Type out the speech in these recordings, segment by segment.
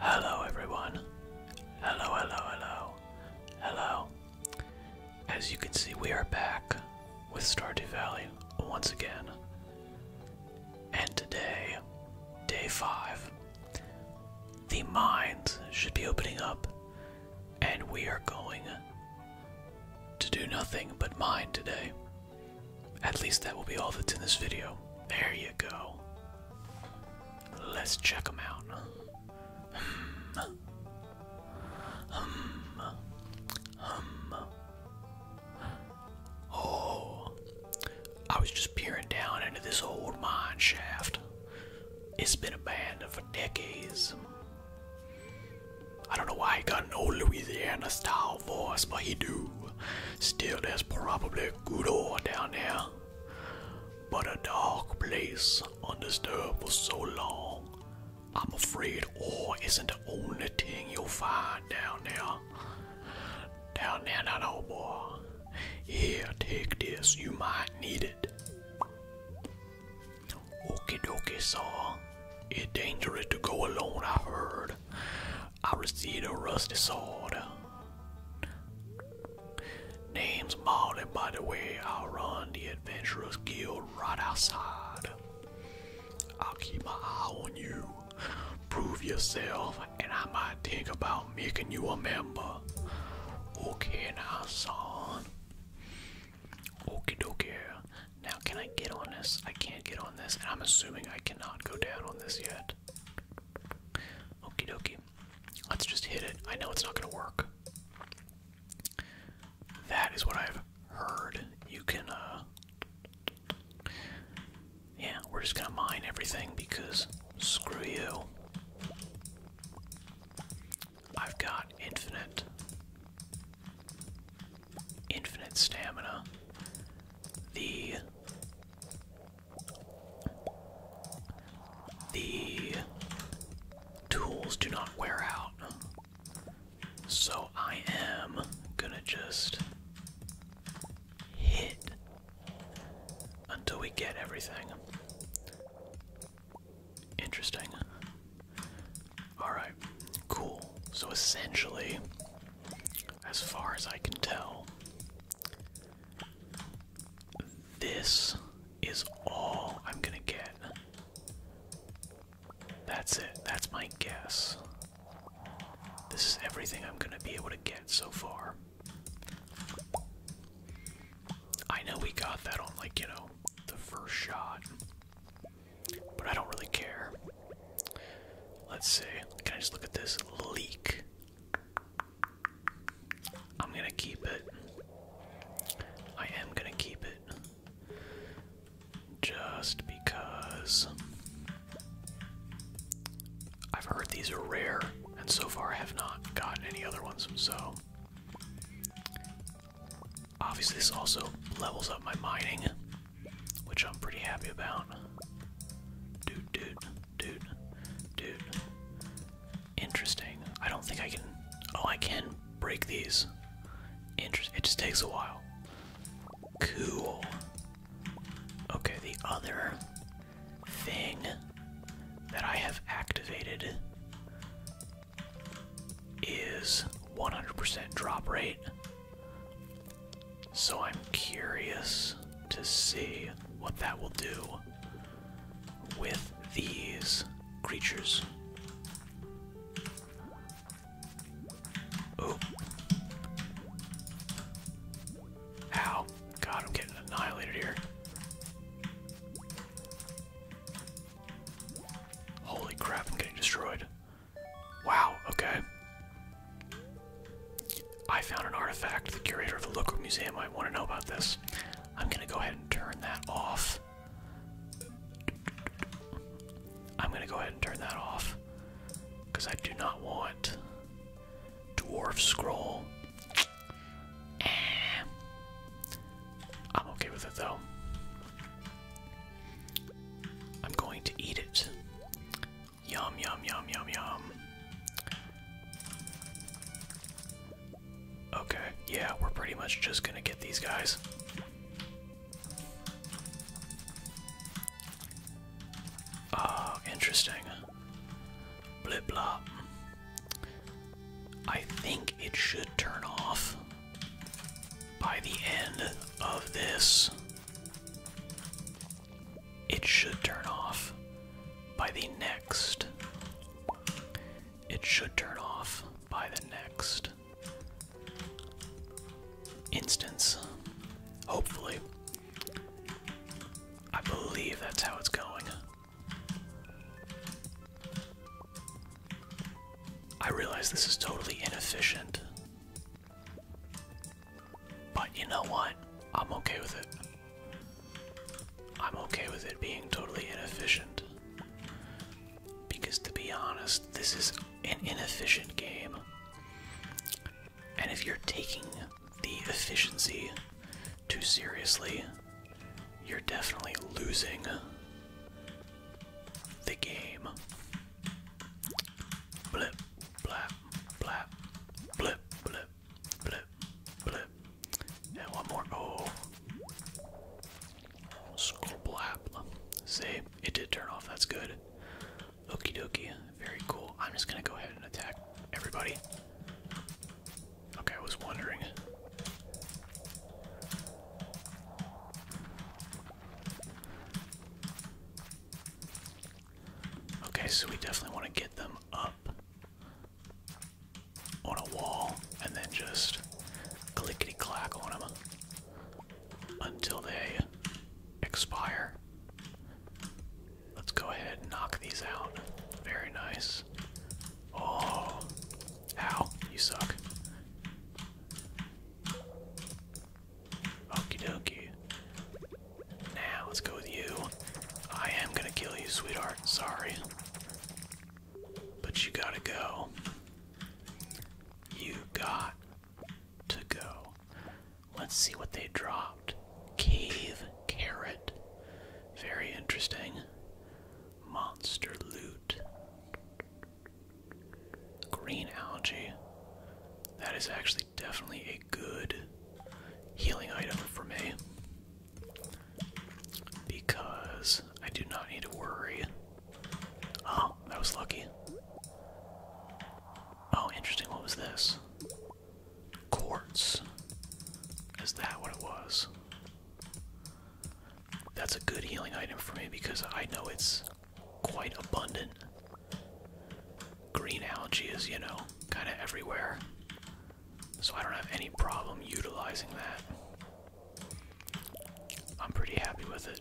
Hello, everyone. Hello, hello, hello. Hello. As you can see, we are back with Stardew Valley once again. And today, day five, the mines should be opening up, and we are going to do nothing but mine today. At least that will be all that's in this video. There you go. Let's check them out. Oh, I was just peering down into this old mine shaft. It's been abandoned for decades. I don't know why he got an old Louisiana style voice, but he do. Still, there's probably good ore down there. But a dark place undisturbed for so long, I'm afraid ore isn't the only thing you'll find down there. Down there, that old boy. Here, take this, you might need it. Okie dokie, saw. It's dangerous to go alone, I heard. I received a rusty sword. Name's Molly, by the way. I'll run the Adventurers Guild right outside. I'll keep my eye on you. Prove yourself, and I might think about making you a member. Okay, now, son. Okay, dokie. Now, can I get on this? I can't get on this, and I'm assuming I cannot go down on this yet. Okie dokie. Let's just hit it. I know it's not going to work. That is what I've heard. You can, uh, Yeah, we're just going to mine everything because screw you. I've got infinite. Infinite stamina. The the tools do not wear out. So I am gonna just hit until we get everything. Interesting. Alright, cool. So essentially, as far as I can tell, this is all I'm gonna get. That's it. That's my guess. This is everything I'm gonna be able to get so far. I know we got that on, like, you know, the first shot. But I don't really care. Let's see. Can I just look at this leak? I'm gonna keep it. I am gonna keep it. Just because. I've heard these are rare, and so far I have not gotten any other ones, so. Obviously, this also levels up my mining, which I'm pretty happy about. Dude, dude. Dude. Dude. Interesting. I don't think I can. Oh, I can break these. Interesting. It just takes a while. Cool. Okay, the other thing that I have activated is 100% drop rate so I'm curious to see what that will do with these creatures. Oh. Ow. God, I'm getting annihilated here. Holy crap, I'm getting destroyed. Wow, okay. I found an artifact. The curator of the local museum might want to know about this. I'm going to go ahead and turn that off. I'm going to go ahead and turn that off because I do not want Dwarf Scroll. Eh. I'm okay with it though. I'm going to eat it. Yum, yum, yum, yum, yum. Okay, yeah, we're pretty much just gonna get these guys. Ah, oh, interesting. Blip blop. I think it should turn off by the end of this it should turn off by the next. It should turn off by the next instance. Hopefully. I believe that's how it's going. I realize this is totally inefficient. But you know what? I'm okay with it. I'm okay with it being totally inefficient. Because to be honest, this is an inefficient game. And if you're taking the efficiency too seriously, you're definitely losing the game. Blip, blap, blap, blip, blip, blip, blip. And one more. Oh. Scroll blap. See, it did turn off. That's good. Okey dokie. Very cool. I'm just gonna go ahead and attack everybody. Okay, I was wondering. Okay, so we definitely want to get them up on a wall and then just clickety clack on them until they expire. Let's go ahead and knock these out. Very nice. Oh, ow, you suck. Okie dokie. Now, let's go with you. I am gonna kill you, sweetheart. Sorry. But you gotta go. You got to go. Let's see what they dropped. Cave carrot. Very interesting. Monster loot. Green algae. That is actually definitely a good healing item for me because I do not need to worry. Oh, that was lucky. Oh, interesting. What was this? Quartz. Is that what it was? That's a good healing item for me because I know it's quite abundant Green algae is, you know, kind of everywhere. So I don't have any problem utilizing that. I'm pretty happy with it.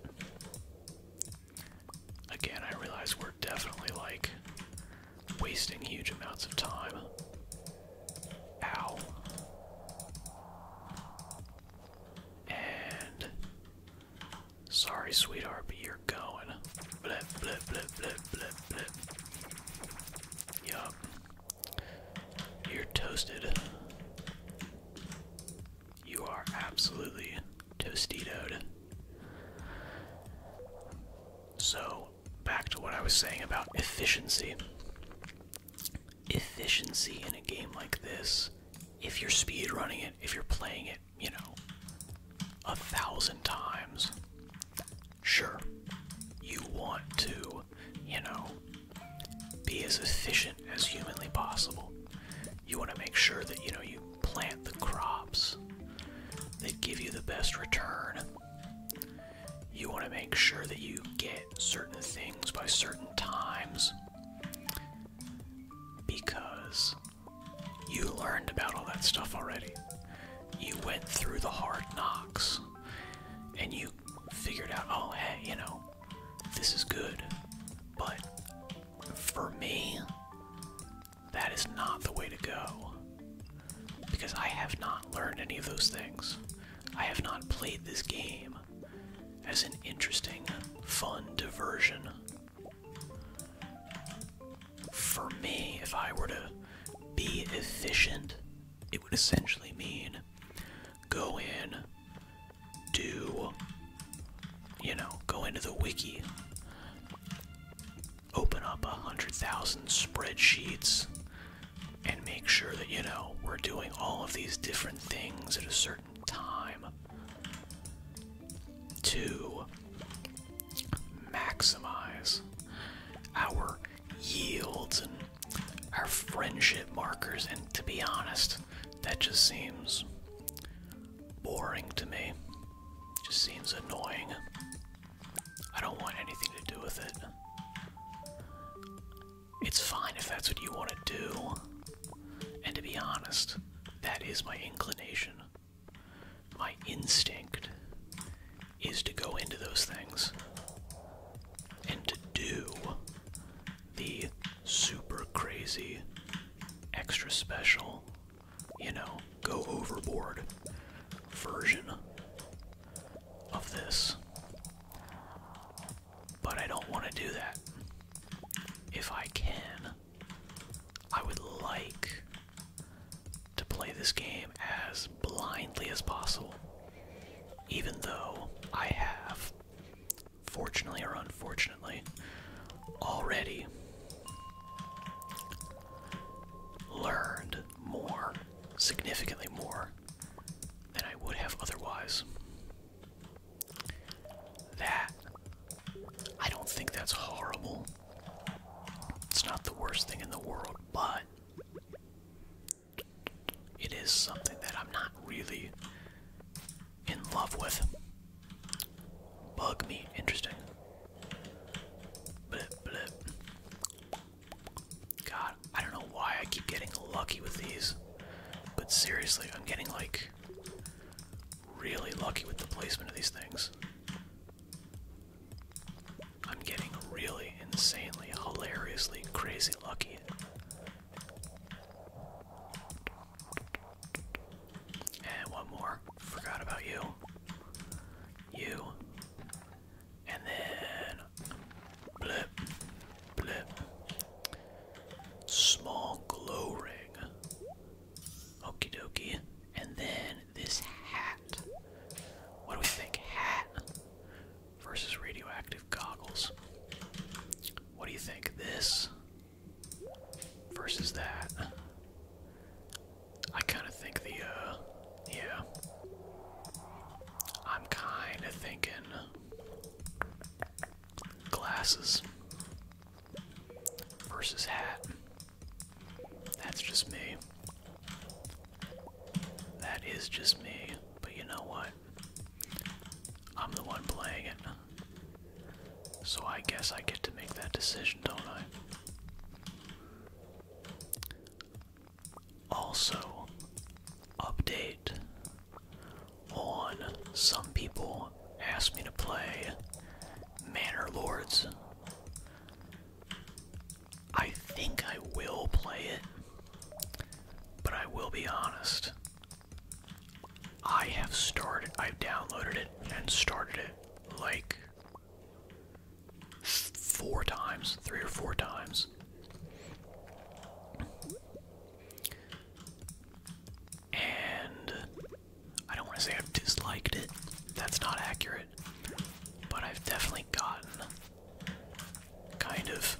Again, I realize we're definitely like wasting huge amounts of time. Ow. And Sorry, sweetheart, but you're going. Blip, blip, blip, blip, blip, blip. Yup. You're toasted. You are absolutely toastitoed. So, back to what I was saying about efficiency. Efficiency in a game like this, if you're speed running it, if you're playing it, you know, a thousand times. Sure, you want to, you know, be as efficient as humanly possible. You want to make sure that, you know, you plant the crops that give you the best return. You want to make sure that you get certain things by certain times because you learned about all that stuff already. You went through the hard knocks and you figured out, oh, hey, you know, this is good. But for me, that is not the way to go. Because I have not learned any of those things. I have not played this game as an interesting, fun diversion. For me, if I were to be efficient, it would essentially mean go in, do, you know, go into the wiki, open up a hundred thousand spreadsheets, and make sure that, you know, we're doing all of these different things at a certain time. Two, maximize our yields and our friendship markers, and to be honest, that just seems boring to me. just seems annoying. I don't want anything to do with it. It's fine if that's what you want to do. And to be honest, that is my inclination my instinct is to go into those things and to do the super crazy, extra special, you know, go overboard version of this. But I don't want to do that. If I can, I would like to play this game as blindly as possible, even though I have, fortunately or unfortunately, already learned more, significantly more, than I would have otherwise. That, I don't think that's horrible. It's not the worst thing in the world, but it is something that I'm not really in love with. Bug me, interesting. God, I don't know why I keep getting lucky with these, but seriously, I'm getting like really lucky with the placement of these things. I'm getting really insanely, hilariously, crazy lucky. And one more. Forgot about you. You. And then. Blip. Blip. Small glow ring. Okie dokie. And then this hat. What do we think? Hat versus radioactive goggles. What do you think? This versus that. I kind of think the, uh, yeah. I'm kind of thinking glasses versus hat. That's just me. That is just me. But you know what? I'm the one playing it. So I guess I get to make that decision, don't I? Also, update on some people asked me to play Manor Lords. I think I will play it, but I will be honest. I have started, I've downloaded it and started it like four times, three or four times and I don't want to say I've disliked it. That's not accurate. But I've definitely gotten kind of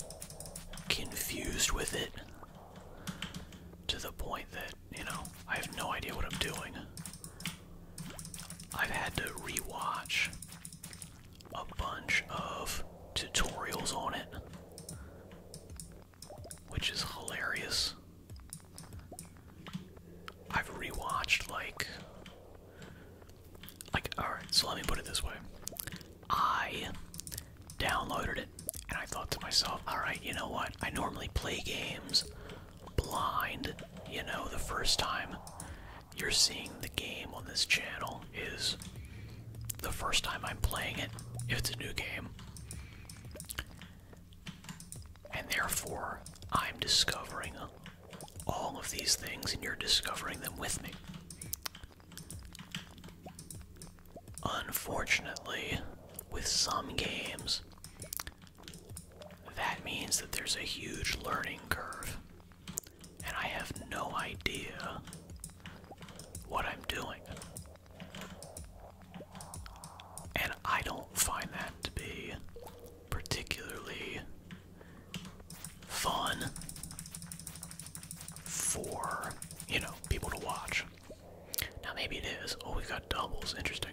confused with it to the point that, you know, I have no idea what I'm doing. I've had to rewatch a bunch of tutorials on it, which is hilarious I've rewatched like like alright, so let me put it this way. I downloaded it and I thought to myself, alright, you know what? I normally play games blind, you know, the first time you're seeing the game on this channel is the first time I'm playing it, if it's a new game. And therefore, I'm discovering all of these things, and you're discovering them with me. Unfortunately, with some games, that means that there's a huge learning curve, and I have no idea what I'm doing. And I don't find that to be particularly fun for, you know, people to watch. Now, maybe it is. Oh, we got doubles. Interesting.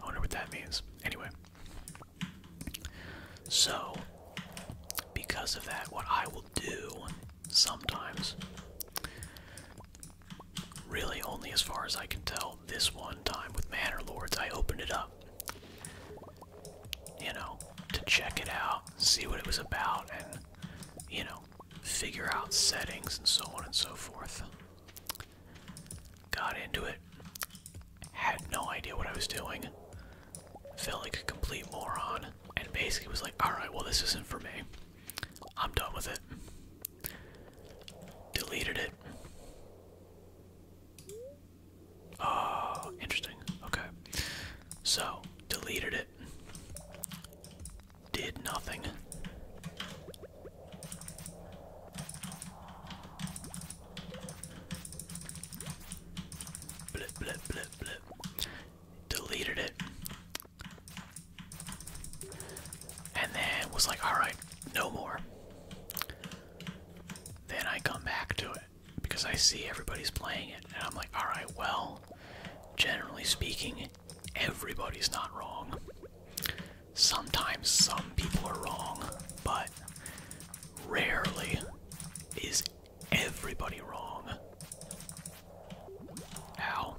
I wonder what that means. Anyway. So, because of that, what I will do sometimes really only as far as I can tell this one time with Manor Lords. I opened it up, you know, to check it out, see what it was about, and, you know, figure out settings and so on and so forth. Got into it, had no idea what I was doing, felt like a complete moron, and basically was like, alright, well, this isn't for me. I'm done with it. Deleted it. Oh, interesting. Okay. So, deleted it. Did nothing. Blip, blip, blip, blip. Deleted it. And then was like, alright, no more. Then I come back to it because I see everybody's playing it, and I'm like, alright, well, generally speaking, everybody's not wrong. Sometimes some people are wrong, but rarely is everybody wrong. Ow.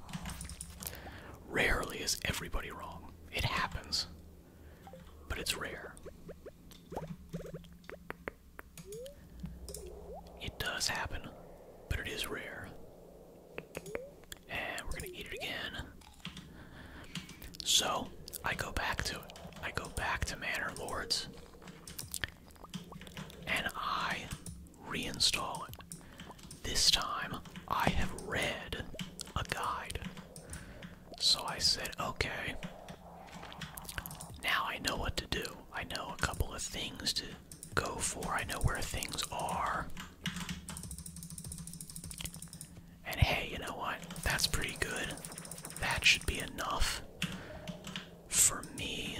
Rarely is everybody wrong. It happens, but it's rare. It does happen, but it is rare. And we're gonna eat it again. So, I go back to it. I go back to Manor Lords. And I reinstall it. This time I have read a guide. So I said, okay, now I know what to do. I know a couple of things to go for, I know where things are. And hey, you know what? That's pretty good. That should be enough for me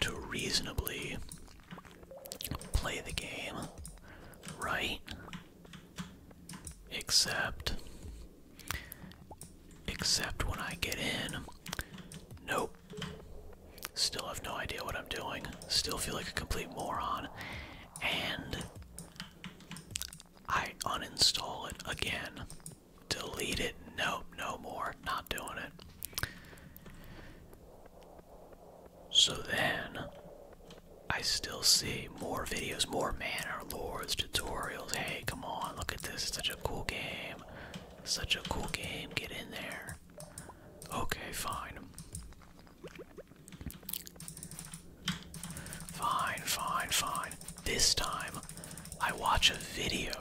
to reasonably play the game right, except, except when I get in, nope, still have no idea what I'm doing, still feel like a complete moron, and I uninstall it again, delete it, nope, no more, not doing it. So then, I still see more videos, more Manor Lords tutorials. Hey, come on, look at this. It's such a cool game. Such a cool game. Get in there. Okay, fine. Fine, fine, fine. This time, I watch a video.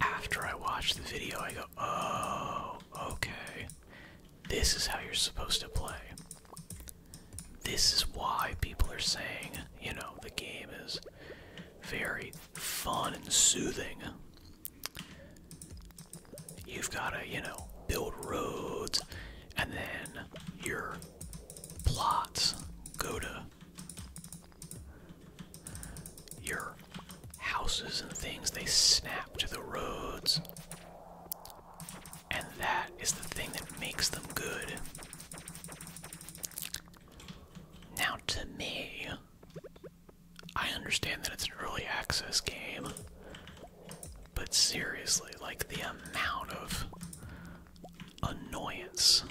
After I watch the video, I go, oh, okay. This is how you're supposed to play. This is why people are saying, you know, the game is very fun and soothing. You've got to, you know, build roads, and then your plots go to your houses and things, they snap to the roads. And that is the thing that makes them good. Now, to me, I understand that it's an early access game, but seriously, like the amount of annoyance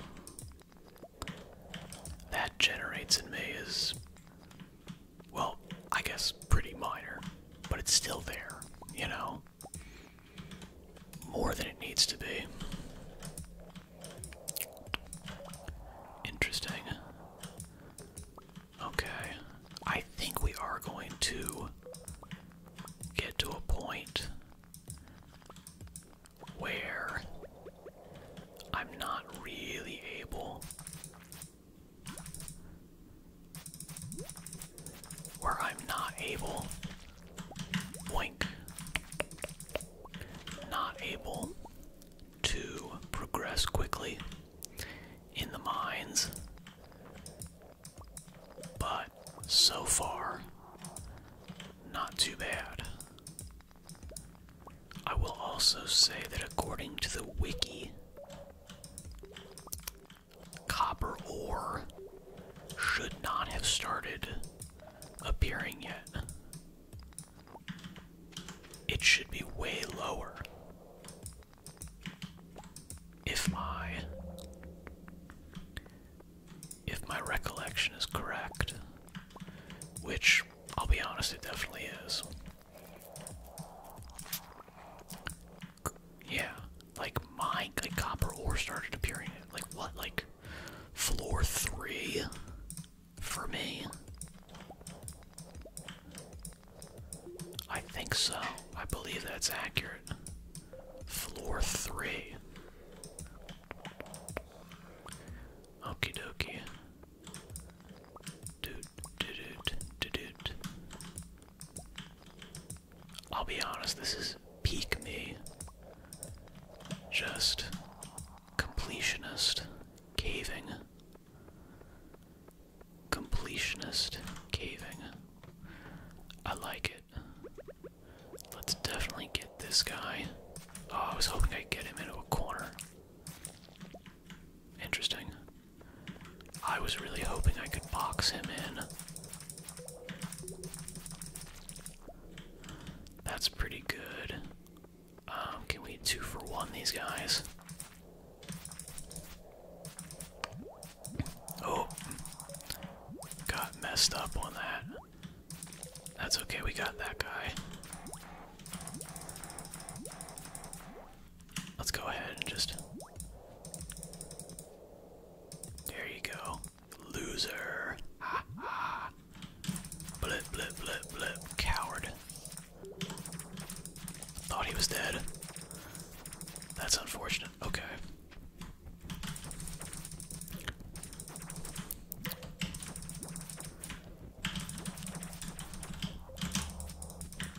that generates in me is, well, I guess pretty minor, but it's still there, you know? More than it needs to be. Interesting. Okay. I think we are going to get to a point where I'm not really able. Where I'm not able. Boink. Not able to progress quickly in the mines. But so far, not too bad. I will also say that according to the wiki, copper ore should not have started appearing yet. It should be way lower. If my if my recollection is correct, which I'll be honest, it definitely is. Yeah, like mine, like copper ore started appearing. like what, like floor three for me? I think so. I believe that's accurate. Floor three. Okie dokie. I'll be honest, this is peak me. Just completionist caving. Completionist caving. I like it. Let's definitely get this guy. Oh, I was hoping I'd get him into a corner. Interesting. I was really hoping I could box him in. That's pretty good. Um, can we two for one these guys? Oh, got messed up on that. That's okay, we got that guy. Let's go ahead and just. There you go. Loser. Blip, blip, blip, blip. Coward. Thought he was dead. That's unfortunate. Okay.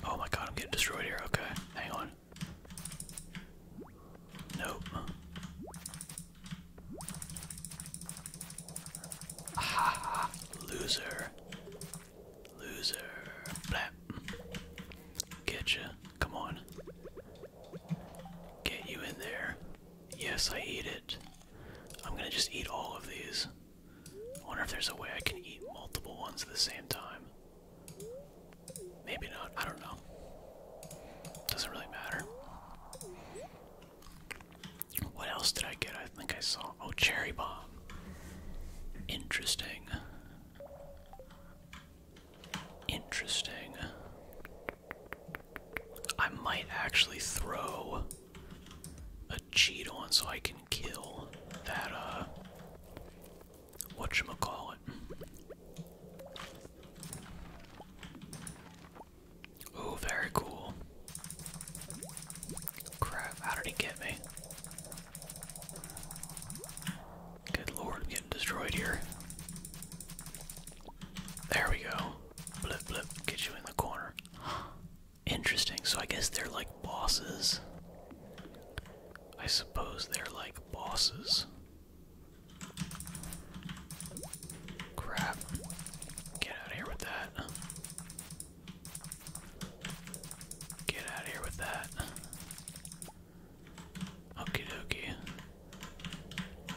Oh my god, I'm getting destroyed here. Okay, hang on. Nope. Ah, loser. Loser. Blap. Get you. Come on. Get you in there. Yes, I eat it. I'm gonna just eat all of these. I wonder if there's a way I can eat multiple ones at the same time. Maybe not, I don't know. Doesn't really matter. What else did I get? I think I saw. Oh, cherry bomb. Interesting. Interesting. I might actually throw a cheat on so I can kill that, uh, whatchamacallit. Oh, very cool. Crap, how did he get me? Good lord, I'm getting destroyed here. There we go. Blip, blip, get you in the corner. Interesting. So I guess they're like bosses. I suppose they're like bosses. Crap. Get out here with that. Get out here with that. Okie dokie.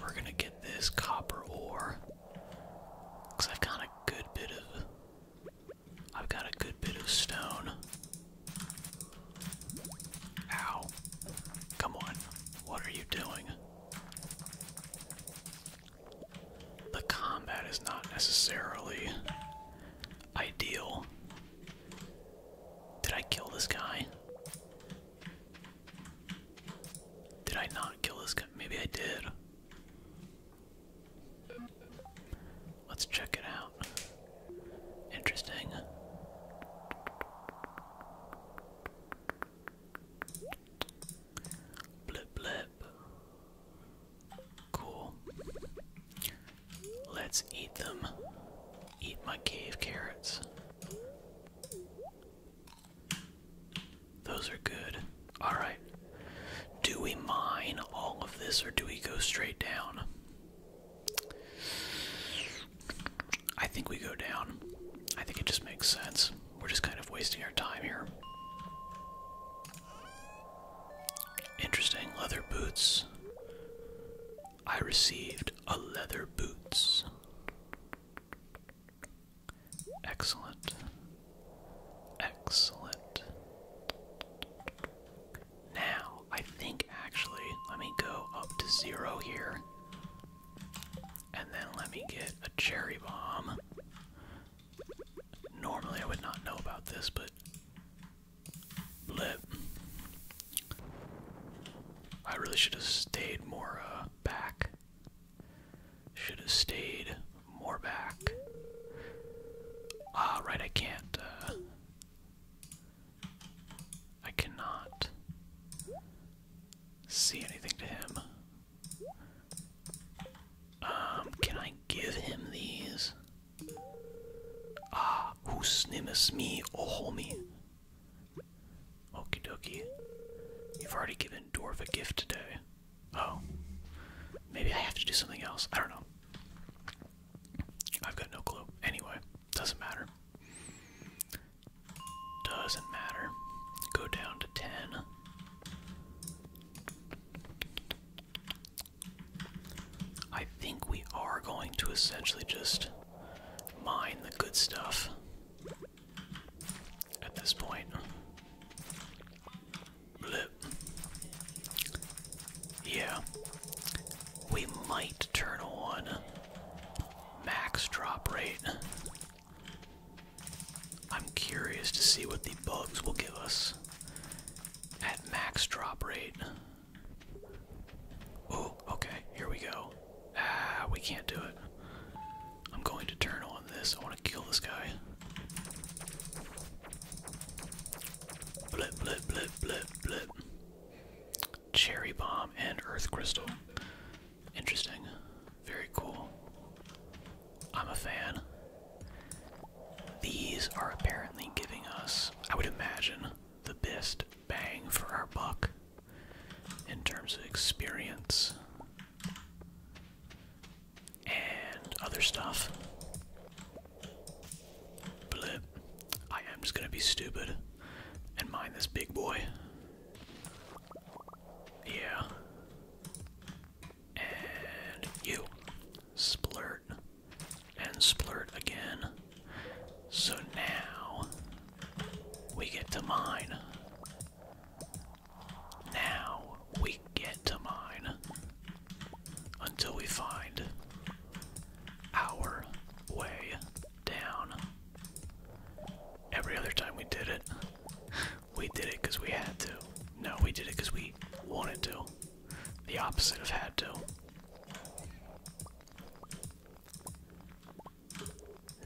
We're gonna get this copper ore. Cause I've got a good bit of I've got a good bit of stone. Ow. Come on. What are you doing? The combat is not necessarily ideal. Did I kill this guy? Did I not kill this guy? Maybe I did. Let's check it out. Interesting. Blip blip. Cool. Let's eat them. Eat my cave carrots. Those are good. Alright. Do we mine all of this or do we go straight down? I think we go down. I think it just makes sense. We're just kind of wasting our time here. Interesting. Leather boots. I received a leather boots. Excellent. Excellent. Now, I think actually, let me go up to zero here. And then let me get a cherry bomb. Normally, I would not know about this, but. Blip. I really should have stayed more uh, back. Should have stayed more back. Ah, right, I can't. Uh, I cannot see anything to him. Um, can I give him these? Ah, who's me, oh homie. Okie dokie. You've already given Dwarf a gift today. Oh. Maybe I have to do something else. I don't know. I've got no clue. Anyway, doesn't matter. Doesn't matter. Go down to 10. I think we are going to essentially just mine the good stuff at this point. Blip. Yeah. We might turn on max drop rate. I'm curious to see what the bugs will give us at max drop rate. Oh, okay, here we go. Ah, we can't do it. I'm going to turn on this. I want to kill this guy. Blip, blip, blip, blip, blip. Cherry bomb and earth crystal. Interesting. Very cool. I'm a fan. These are apparently giving us, I would imagine, the best bang for our buck in terms of experience and other stuff. Blip. I am just gonna be stupid and mine this big boy. Yeah. And you. Splurt. And splurt again. So now we get to mine. Now we get to mine until we find our way down. Every other time we did it, we did it we had to. No, we did it because we wanted to. The opposite of had to.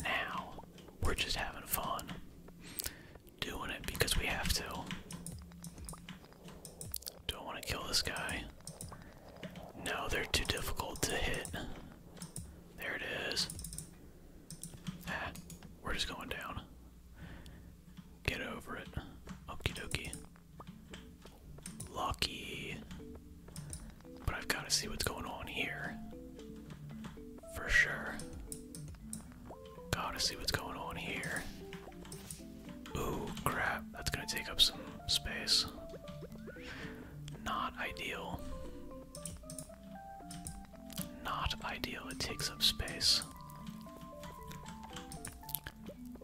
Now we're just having fun doing it because we have to. Do not want to kill this guy? No, they're too difficult to hit. There it is. Ah, we're just going down. Get over it. Okie dokie. Lucky. But I've got to see what's going on here for sure. Gotta see what's going on here. Ooh, crap. That's gonna take up some space. Not ideal. Not ideal. It takes up space.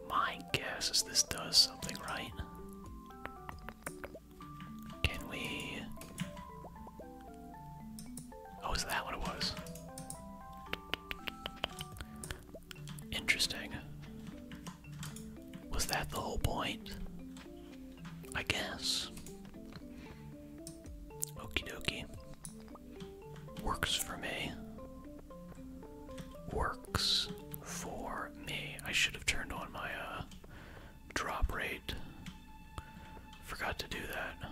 My guess is this does something, right? Can we Oh, is that what it was? Interesting. Was that the whole point? I guess. Okey dokey. Works for me. Works for me. I should have turned on my uh drop rate. Forgot to do that.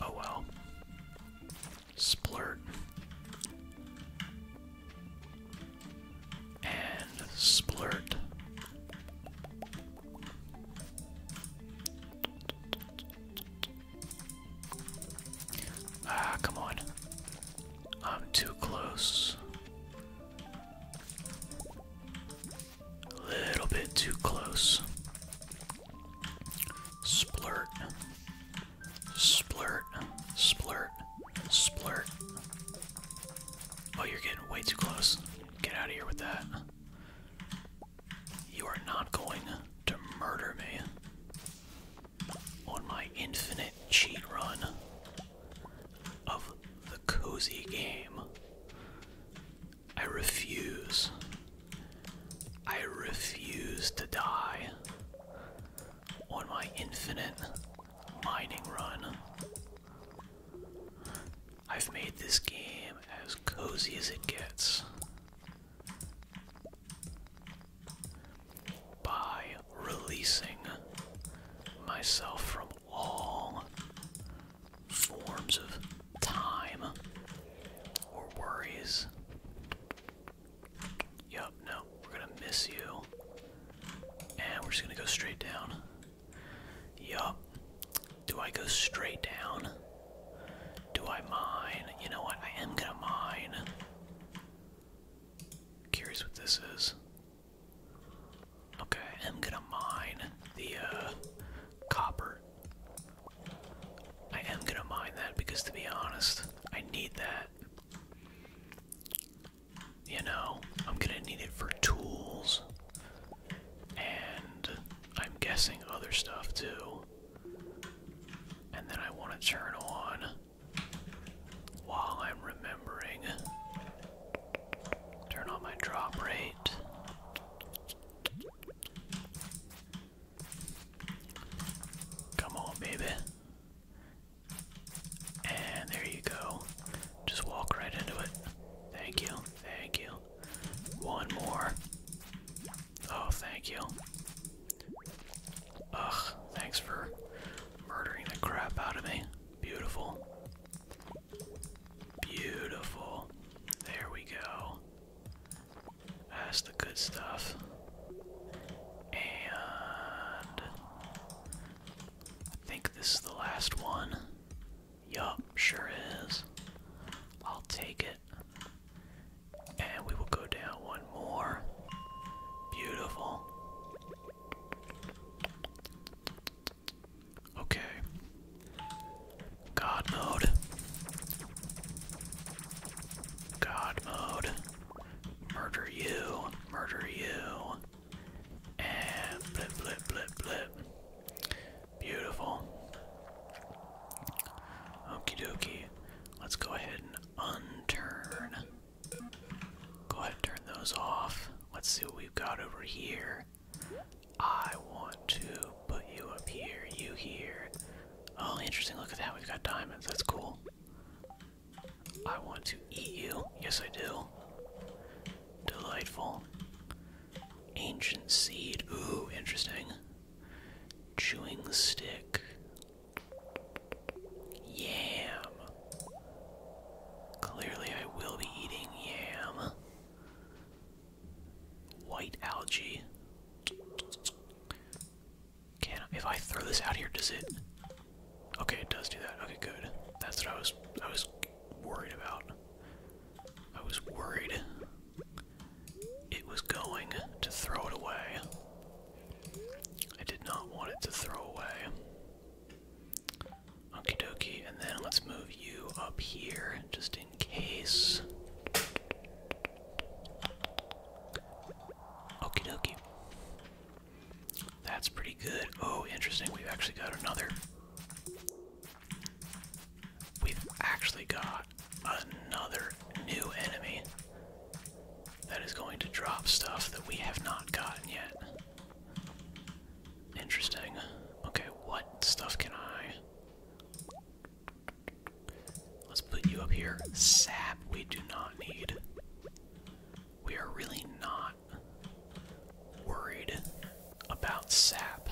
Oh well. Splurt. And splurt. Ah, come on. I'm too close. Little bit too close. Splurt. Splurt. Splurt. Splurt. Oh, you're getting way too close. Get out of here with that. You are not going to murder me on my infinite cheat run of the cozy game. I refuse. I refuse to die on my infinite mining run. I've made this game as cozy as it gets by releasing myself from long forms of time or worries. Yup, no, we're gonna miss you. And we're just gonna go straight down. Yup. Do I go straight down? Do I mine? You know what? I am gonna mine. Curious what this is. Okay, I'm gonna mine the uh, copper. I am gonna mine that because, to be honest, I need that. You know, I'm gonna need it for tools, and I'm guessing other stuff too. And then I want to turn on while I'm remembering Turn on my drop rate. Come on, baby. And there you go. Just walk right into it. Thank you. Thank you. One more. Oh, thank you. Ugh, thanks for murdering the crap out of me. Beautiful. Beautiful. There we go. That's the good stuff. And I think this is the last one. Yup, sure is. I'll take it. And we will go down one more. Beautiful. Okay. God mode. God mode. Murder you. Murder you. And blip, blip, blip, blip. Beautiful. Okie dokie. Let's go ahead and unturn. Go ahead and turn those off. Let's see what we've got over here. I want to put you up here, you here. Oh, interesting. Look at that. We've got diamonds. That's cool. I want to eat you. Yes, I do. Delightful. Ancient seed. Ooh, interesting. Chewing stick. Yam. Clearly, I will be eating yam. White algae. Can if I throw this out here, does it? Okay, it does do that. Okay, good. That's what I was. I was worried about. I was worried it was going to throw it away. I did not want it to throw away. Okie dokie, and then let's move you up here just in case. Okie dokie. That's pretty good. Oh, interesting. We've actually got another. We've actually got another new enemy that is going to drop stuff that we have not gotten yet. Interesting. Okay, what stuff can I? Let's put you up here. Sap, we do not need. We are really not worried about sap.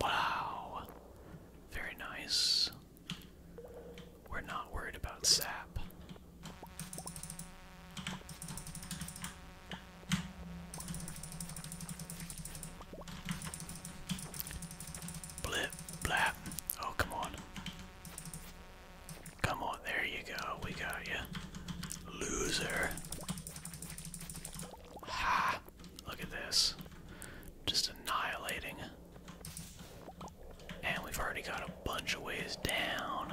Wow. Very nice. We're not worried about sap. Blip, blap. Oh, come on. Come on, there you go. We got you. Loser. Ha! Look at this. Just annihilating. And we've already got a bunch of ways down.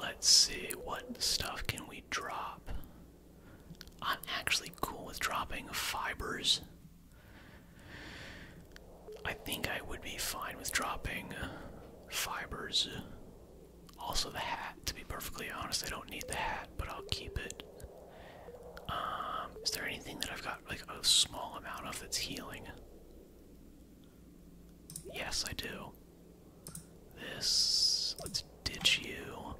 Let's see, what stuff can we drop? I'm actually cool with dropping fibers. I think I would be fine with dropping fibers. Also, the hat, to be perfectly honest, I don't need the hat, but I'll keep it. Um, is there anything that I've got like a small amount of that's healing? Yes, I do. This. Let's ditch you.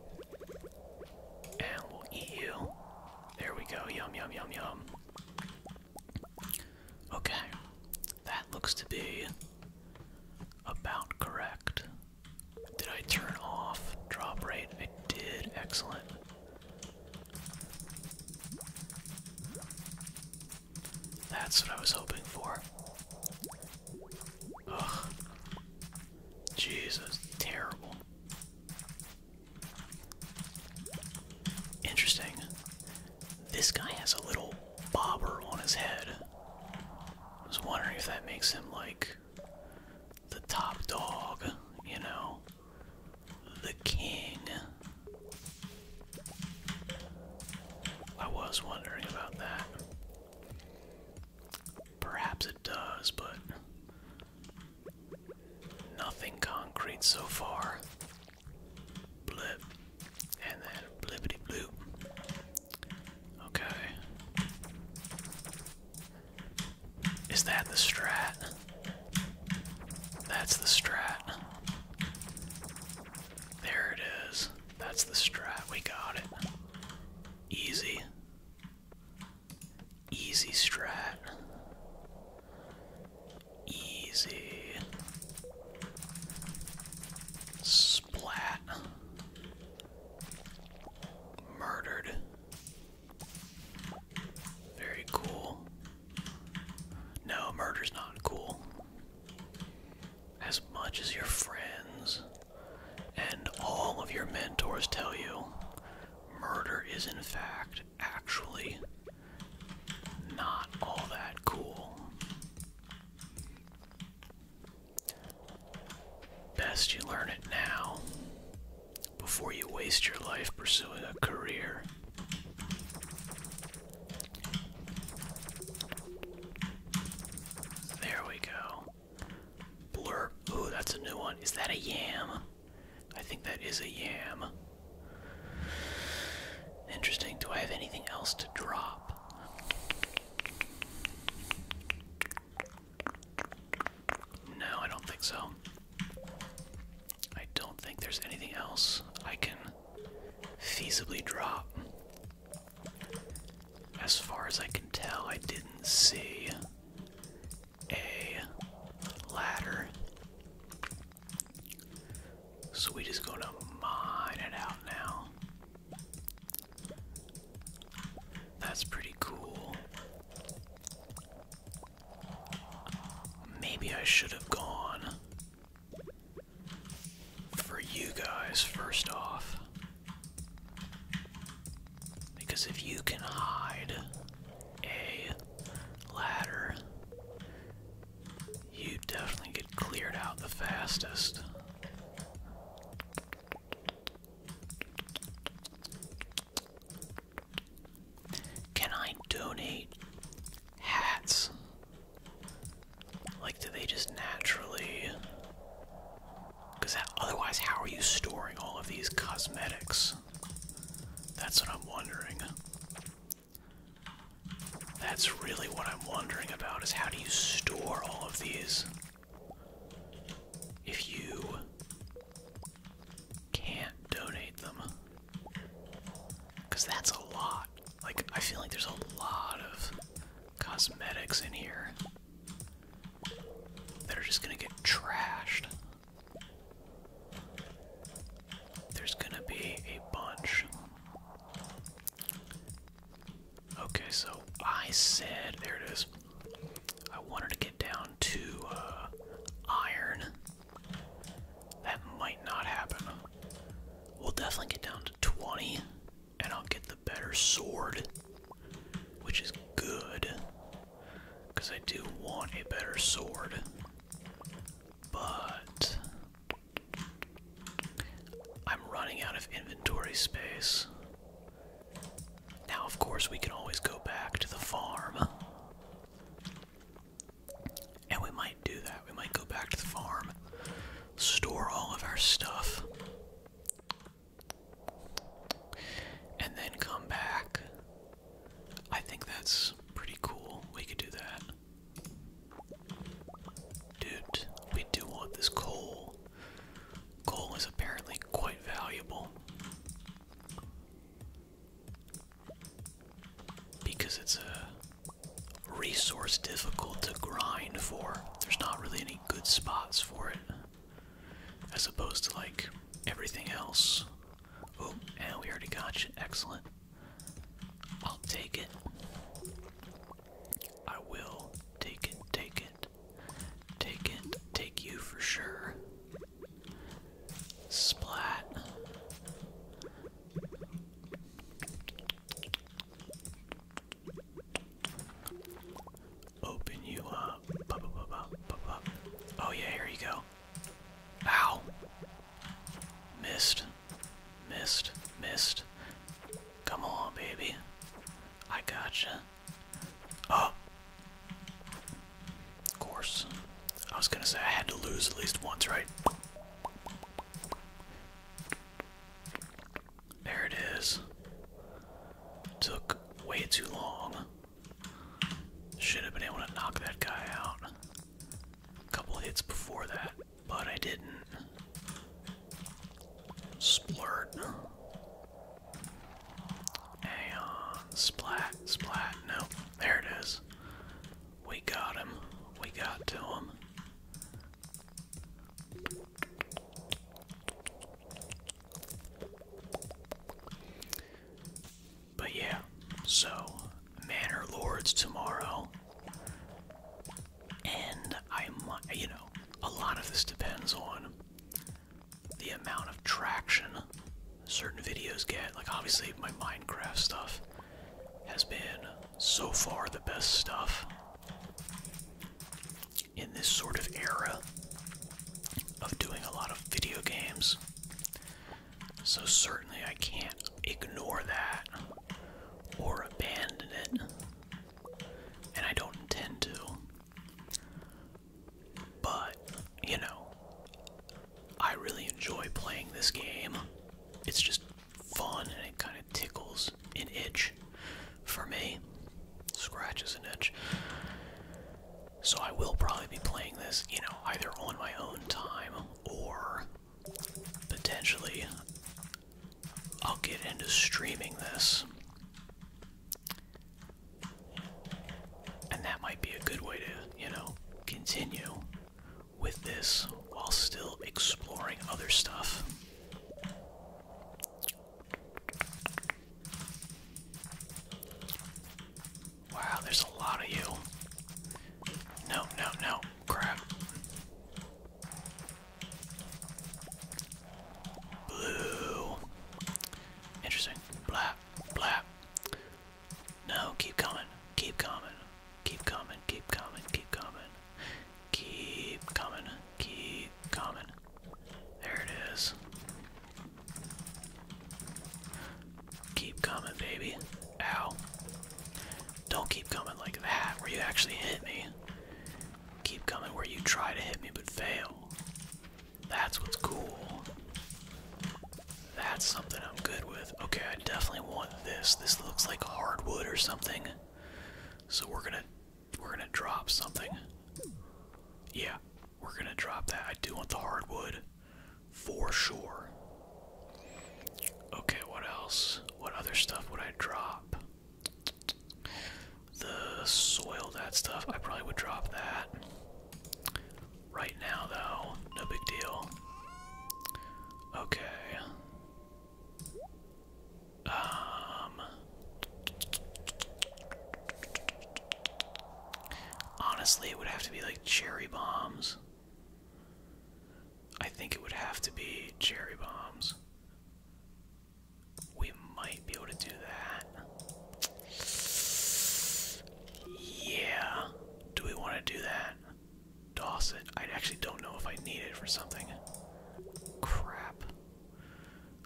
And we'll eat you. There we go. Yum, yum, yum, yum. Okay. That looks to be about correct. Did I turn off drop rate? It did. Excellent. That's what I was hoping for. Ugh. Jesus, terrible. Interesting. This guy has a little bobber on his head. I was wondering if that makes him like the top dog, you know? The king. I was wondering about that. Perhaps it does, but nothing concrete so far. Blip. And then blippity bloop. Okay. Is that the strat? That's the strat. There it is. That's the strat. We got it. Easy. Easy strat. Easy. Splat. Murdered. Very cool. No, murder's not cool. As much as your friends and all of your mentors tell you, murder is in fact actually not all that cool. Best you learn it now before you waste your life pursuing a career there we go. Blurb. Ooh, that's a new one. Is that a yam? I think that is a yam. Interesting. Do I have anything else to drop? No, I don't think so. I don't think there's anything else I can feasibly drop. As far as I can tell, I didn't see a ladder. So we just go to mine it out now. That's pretty cool. Maybe I should have gone for you guys first off. Because if you can hide a ladder, you definitely get cleared out the fastest. Can I donate hats? Like, do they just naturally. Because otherwise, how are you storing all of these cosmetics? That's what I'm wondering. That's really what I'm wondering about is how do you store all of these? If you can't donate them. Because that's a lot. Like, I feel like there's a lot of cosmetics in here that are just gonna get trashed. There's gonna be a bunch. Okay, so I said, there it is. I wanted to get down to uh, iron. That might not happen. We'll definitely get down to 20, and I'll get the better sword, which is good, because I do want a better sword. But I'm running out of inventory space. Now, of course, we can always go back to the farm. And we might do that. We might go back to the farm, store all of our stuff, and then come back. I think that's pretty cool. We could do that. Dude, we do want this coal. Coal is apparently quite valuable. Because it's a resource difficult to grind for. There's not really any good spots for it. As opposed to like everything else. Oh, and we already got you. Excellent. I'll take it. I will take it, take it, take it, take you for sure. Splat. Open you up. Oh, yeah, here you go. Ow! Missed. Missed. Missed. Come on, baby. I gotcha. Oh! Of course. I was gonna say I had to lose at least once, right? There it is. Took way too long. Should have been able to knock that guy out a couple hits before that, but I didn't. Splurt. Hang Splat, splat. Nope. There it is. We got him. We got to him. But yeah, so Manor Lords tomorrow. And I'm, you know, a lot of this depends on the amount of traction certain videos get. Like, obviously, my Minecraft stuff has been so far the best stuff in this sort of era of doing a lot of video games. So, certainly, I can't ignore that or abandon it, and I don't intend to. But, you know, I really enjoy playing this game. It's just fun and it kind of tickles an itch for me. Scratches an itch. So I will probably be playing this, you know, either on my own time or potentially I'll get into streaming this. And that might be a good way to, you know, continue with this while still exploring other stuff. Wow, there's a lot of you. No, no, no. Crap. Blue. Interesting. Blap, blap. No, keep coming. Keep coming. Keep coming. Keep coming. Keep coming. Keep coming. Keep coming. There it is. Keep coming, baby. Ow. Don't keep coming like that, where you actually hit me. Keep coming where you try to hit me but fail. That's what's cool. That's something I'm good with. Okay, I definitely want this. This looks like hardwood or something. So we're gonna we're gonna drop something. Yeah, we're gonna drop that. I do want the hardwood for sure. Okay, what else? What other stuff would I drop? The soil, that stuff. I probably would drop that. Right now, though, no big deal. Okay, um, honestly, it would have to be like cherry bombs. I think it would have to be cherry bombs. We might be able to do that. Yeah. Do we want to do that? Dawson. I actually don't know if I need it for something. Crap.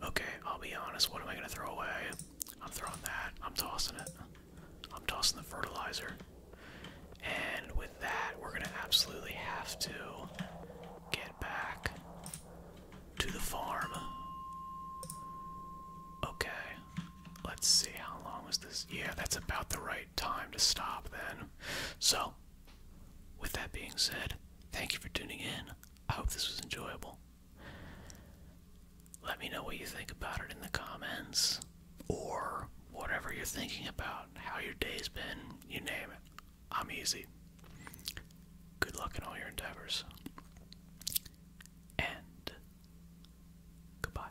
Okay, I'll be honest. What am I gonna throw away? I'm throwing that. I'm tossing it. I'm tossing the fertilizer. And with that, we're gonna absolutely have to get back to the farm. Okay. Let's see, how long was this? Yeah, that's about the right time to stop then. So, with that being said, thank you for tuning in. I hope this was enjoyable. Let me know what you think about it in the comments or whatever you're thinking about, how your day's been, you name it. I'm easy. Good luck in all your endeavors. And goodbye.